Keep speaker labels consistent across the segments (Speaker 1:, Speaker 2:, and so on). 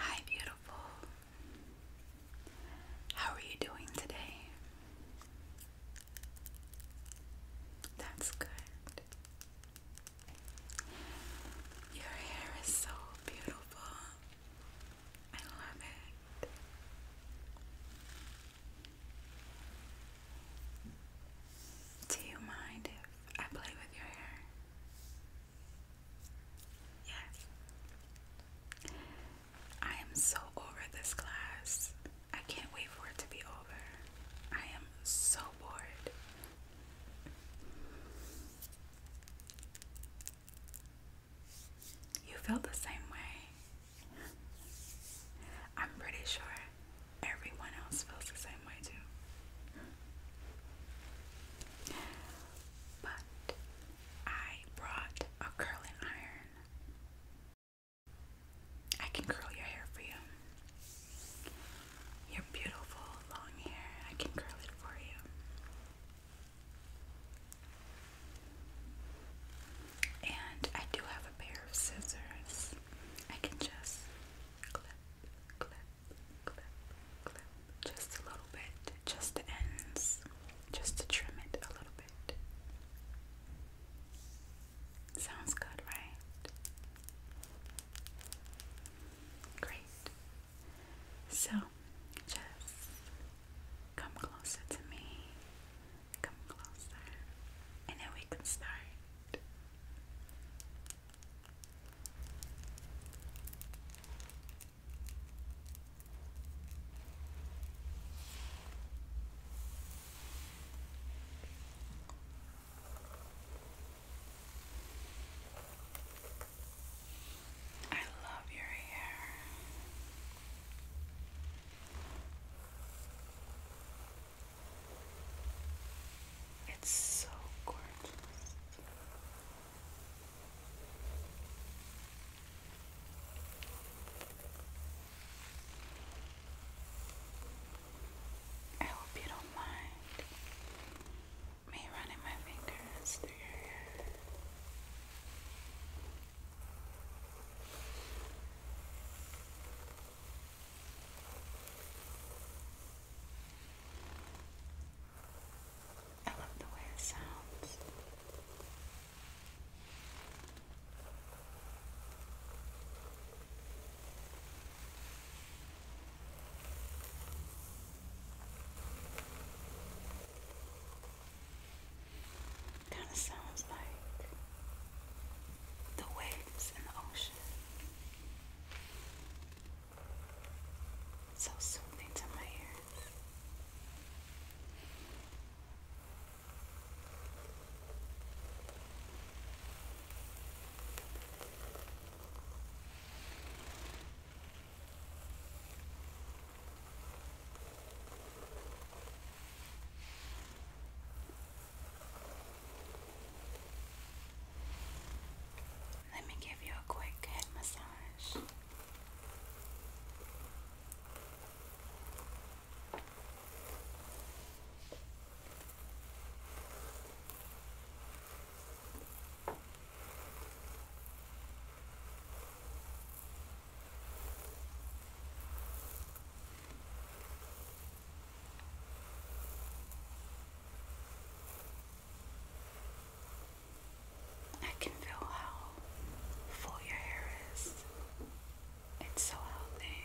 Speaker 1: Hi, beautiful. How are you doing today? That's good. Your hair is so beautiful. I love it. Do you mind if I play with your hair? Yes. I am so over this class. I can't wait for it to be over. I am so bored. You felt the same way. I'm pretty sure everyone else feels the same way too. But I brought a curling iron. I can curl your hair for you. Your beautiful long hair, I can curl it for you. And I do have a pair of scissors. I can just clip, clip, clip, clip just a little bit, just the ends, just to trim it a little bit. Sounds good, right? Great. So just come closer to me. Come closer. And then we can start. I love your hair. It's so gorgeous. I hope you don't mind me running my fingers through your hair. I love the way it sounds. Kind of sounds like the waves in the ocean. So soothing to my ears. Let me give you a quick head massage. I can feel how full your hair is. It's so healthy.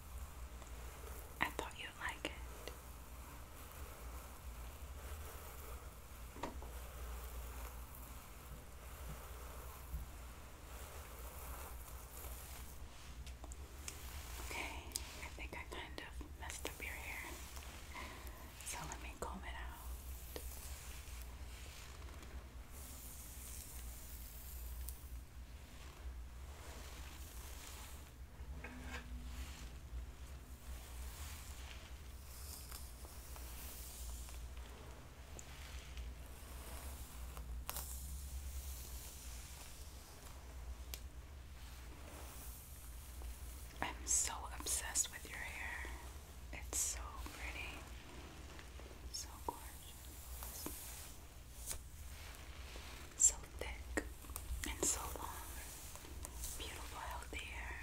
Speaker 1: I thought you'd like it. Okay, I think I kind of messed up your hair. So let me comb it out. I'm so obsessed with your hair. It's so pretty. So gorgeous. So thick and so long. Beautiful, healthy hair.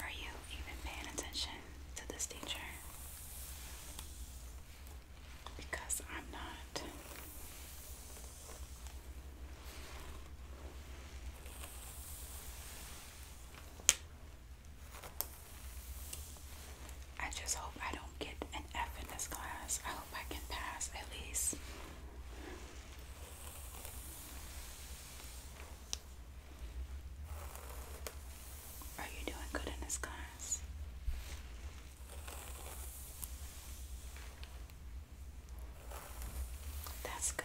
Speaker 1: Are you even paying attention to this teacher? Because I'm not. I just hope I don't get an F in this class. I hope I can pass at least. Are you doing good in this class? That's good.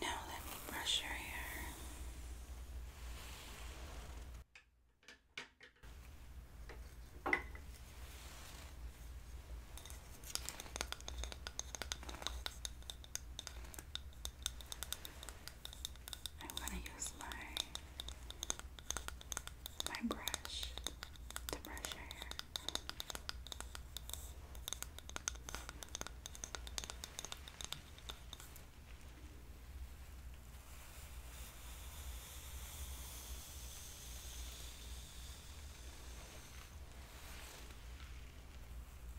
Speaker 1: Now let me brush your hair. I'm gonna use my my brush to brush your hair.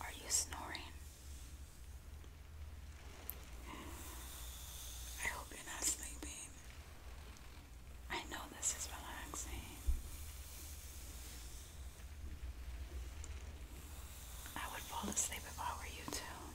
Speaker 1: Are you snoring? I hope you're not sleeping. I know this is relaxing. I would fall asleep if I were you too.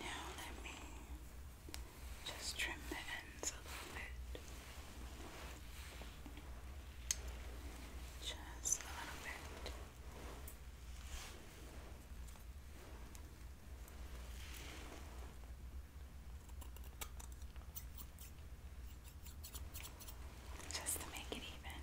Speaker 1: Now let me just trim the ends a little bit. Just a little bit. Just to make it even.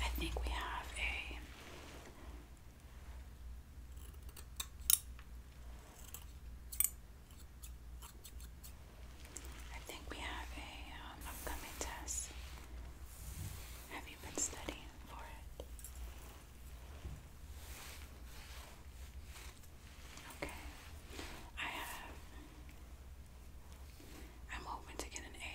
Speaker 1: I think we have a I think we have a um, upcoming test. Have you been studying for it? Okay. I have. I'm hoping to get an A.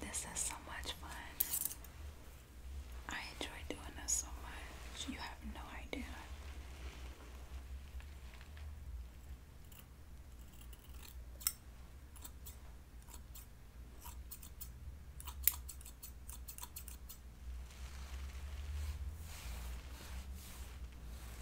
Speaker 1: This is so much fun. I enjoy doing this so much. You have no idea.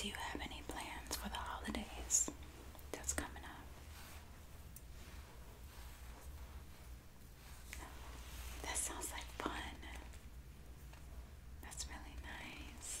Speaker 1: Do you have any plans for the holidays that's coming up? That sounds like fun. That's really nice.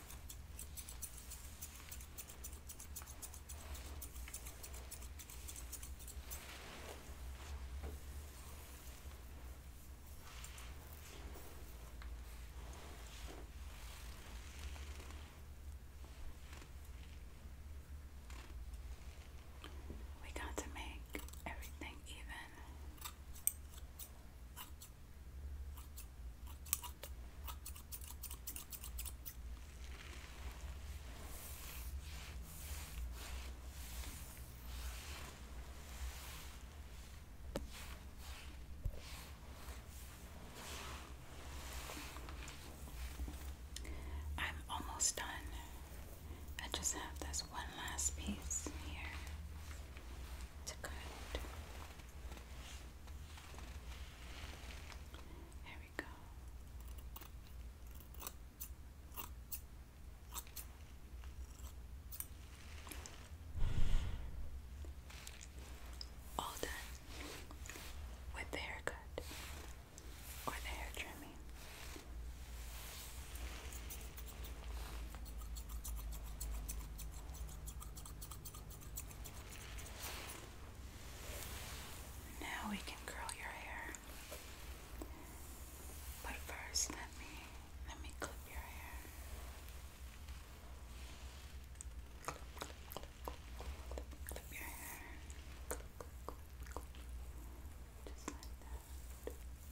Speaker 1: We got to make everything even. I'm almost done. I just have this one last piece here to cut. There we go. All done with the haircut or the hair trimming. Now we can curl your hair. But first, let me let me clip your hair. Clip, clip, clip, clip, clip your hair. Clip, clip, clip, clip. Just like that.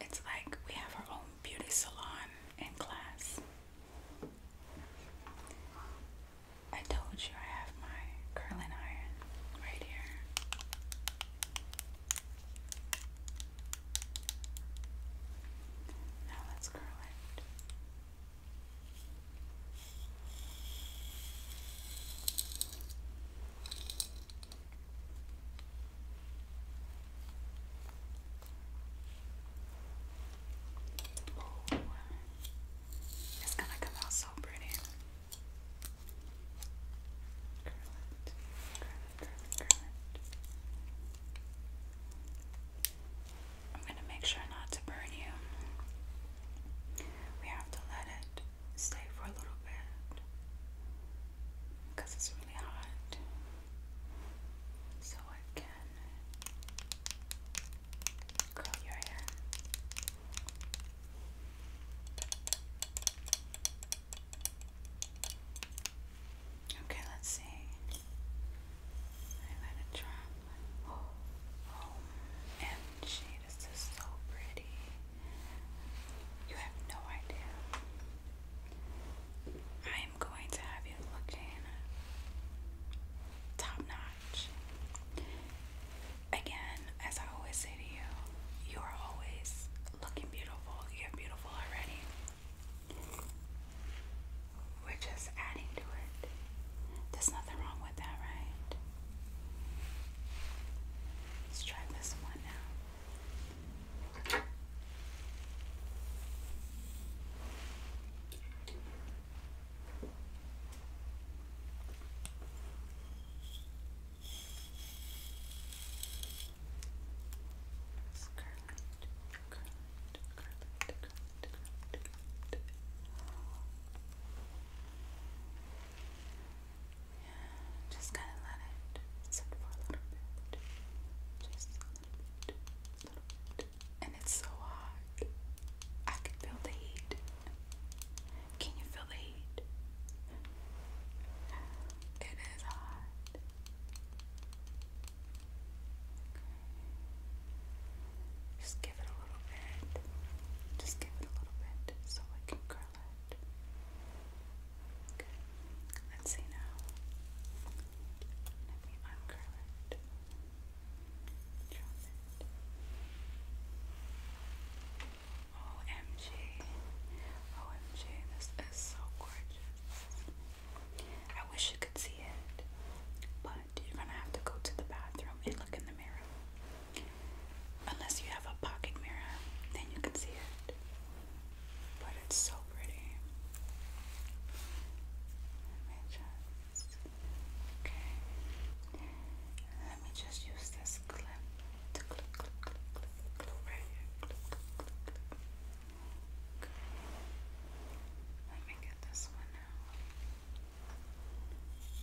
Speaker 1: It's like we have our own beauty salon in class. I told you sure I have my curling iron right here. Now let's curl it. Ooh. It's gonna come out so pretty. I'm going to make sure not to burn you. We have to let it stay for a little bit because it's really hot. So I can curl your hair. Okay, let's see. I let it drop. Oh, oh, MG, this is so pretty. You have no idea. I am going to have you looking top notch again, as I always say to you, you are always looking beautiful. You're beautiful already. We're just adding to it. There's nothing wrong with that, right? Let's try this one now. Just kind of let it sit for a little bit. Just a little bit. And it's so hot. I can feel the heat. Can you feel the heat? It is hot. Just give it a little bit. Just give it a little bit so I can curl it. Okay. Let's see now. Let me uncurl it. Drop it. OMG. OMG, this is so gorgeous. I wish you could see it, but you're gonna have to go to the bathroom and look in the mirror. Unless you have a pocket mirror, then you can see it. But it's so pretty. Let me just. Okay. Let me just use this clip. Let me get this one out. Okay, just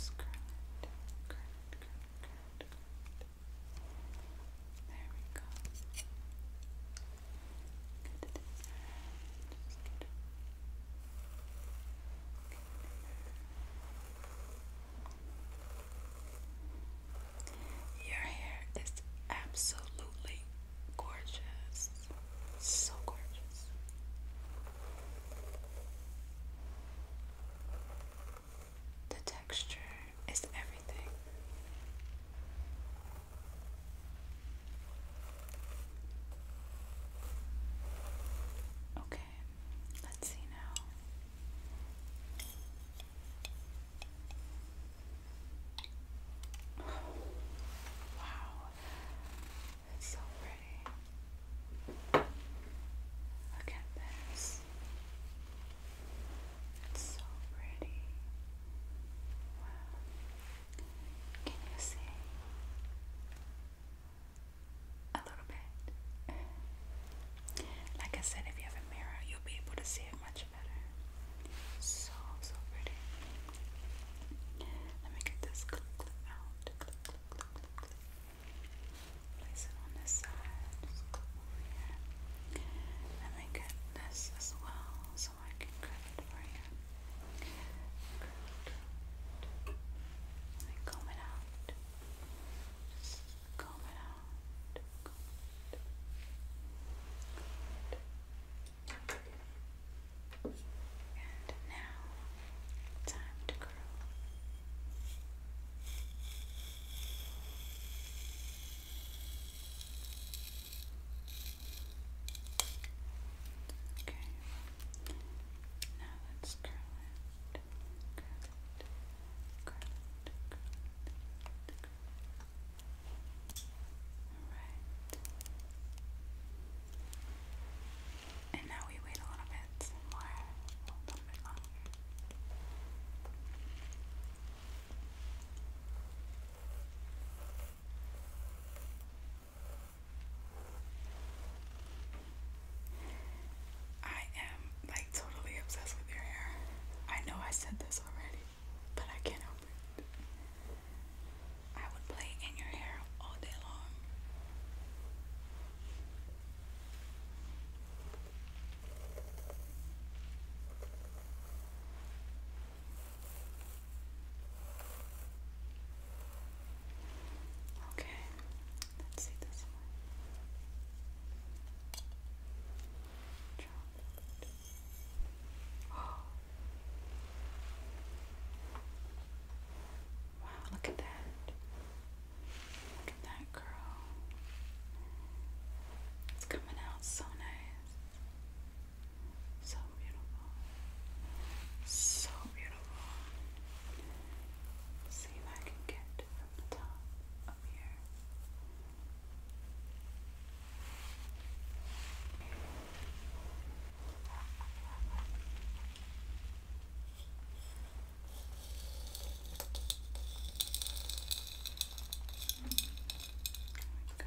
Speaker 1: it. There we go. Your hair is absolutely gorgeous. So gorgeous. The texture is everything. Okay, let's see now. Oh, wow, it's so pretty. Look at this. It's so pretty. Wow. Can you see? A little bit. Like I said, if you have a mirror, you'll be able to see it much better. So, so pretty. Let me get this clip out. Place it on this side. Let me get this as well so I can cut it for you. Cut, cut. And it out. Just it out. Comb it. Comb it. And now, time to curl. Okay. Now let's curl it. Curl it. Curl it. Curl it. Curl it. Alright. And now we wait a little bit more, a little bit longer. Okay. I am like totally obsessed with your hair. I know I said this already, but I can't help it. I would play in your hair all day long. Okay, let's see this one. Wow, look at that. Look at that girl. It's coming out so nice. So beautiful. So beautiful. see if I can get from the top up here. There we go.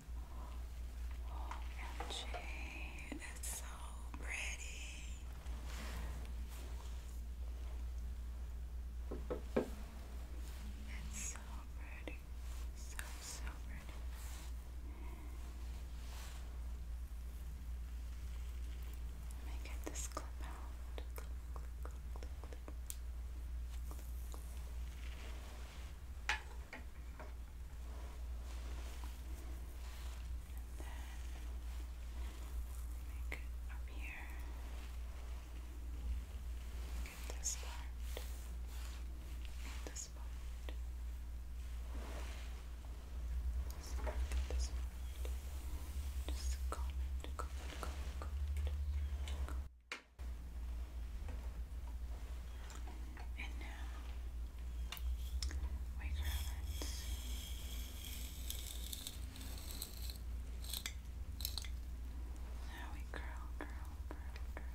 Speaker 1: OMG, it's so pretty. It's so pretty. So, so pretty. Let me get this clip out. And then make it up here. Get this part. Get this part. This part. This part. Just comment, comment, comment, comment. comment. And now we curl it. Now we curl, curl, curl, curl.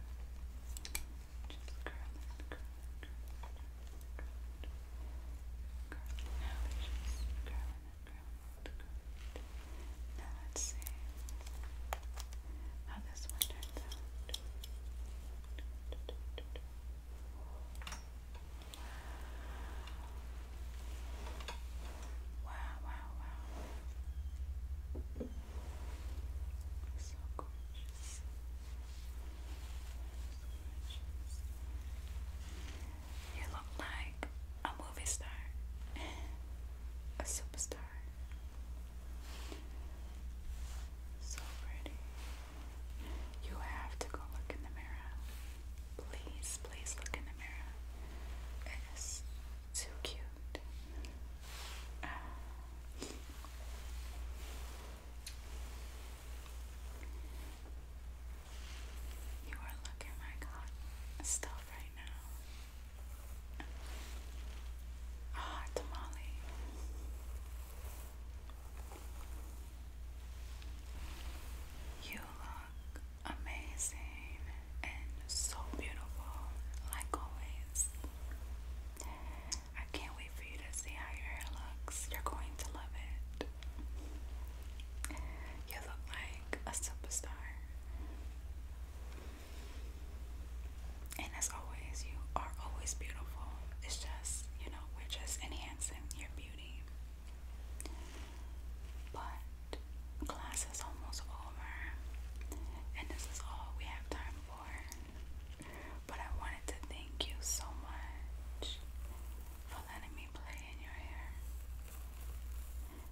Speaker 1: Just curl it, curl curl curl Now we just curl it, curl it, curl it. Now let's see how this one turns out. Wow, wow, wow. So gorgeous. So gorgeous. You look like a movie star, a superstar. So pretty. You have to go look in the mirror. Please, please look in the mirror. It is too cute. you are looking like stuff right now. Ah, tamale. You look amazing and so beautiful, like always. I can't wait for you to see how your hair looks. You're going to love it. You look like a superstar. And as always, you are always beautiful. It's just, you know, we're just enhancing your beauty. But class is almost over, and this is all we have time for. But I wanted to thank you so much for letting me play in your hair.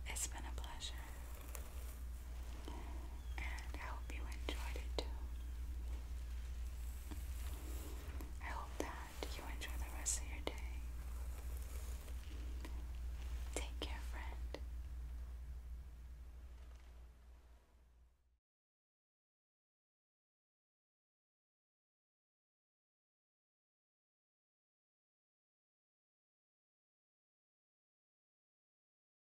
Speaker 1: It's been a pleasure. And I hope you enjoyed it too. I hope that you enjoy the rest of your day. Take care, friend.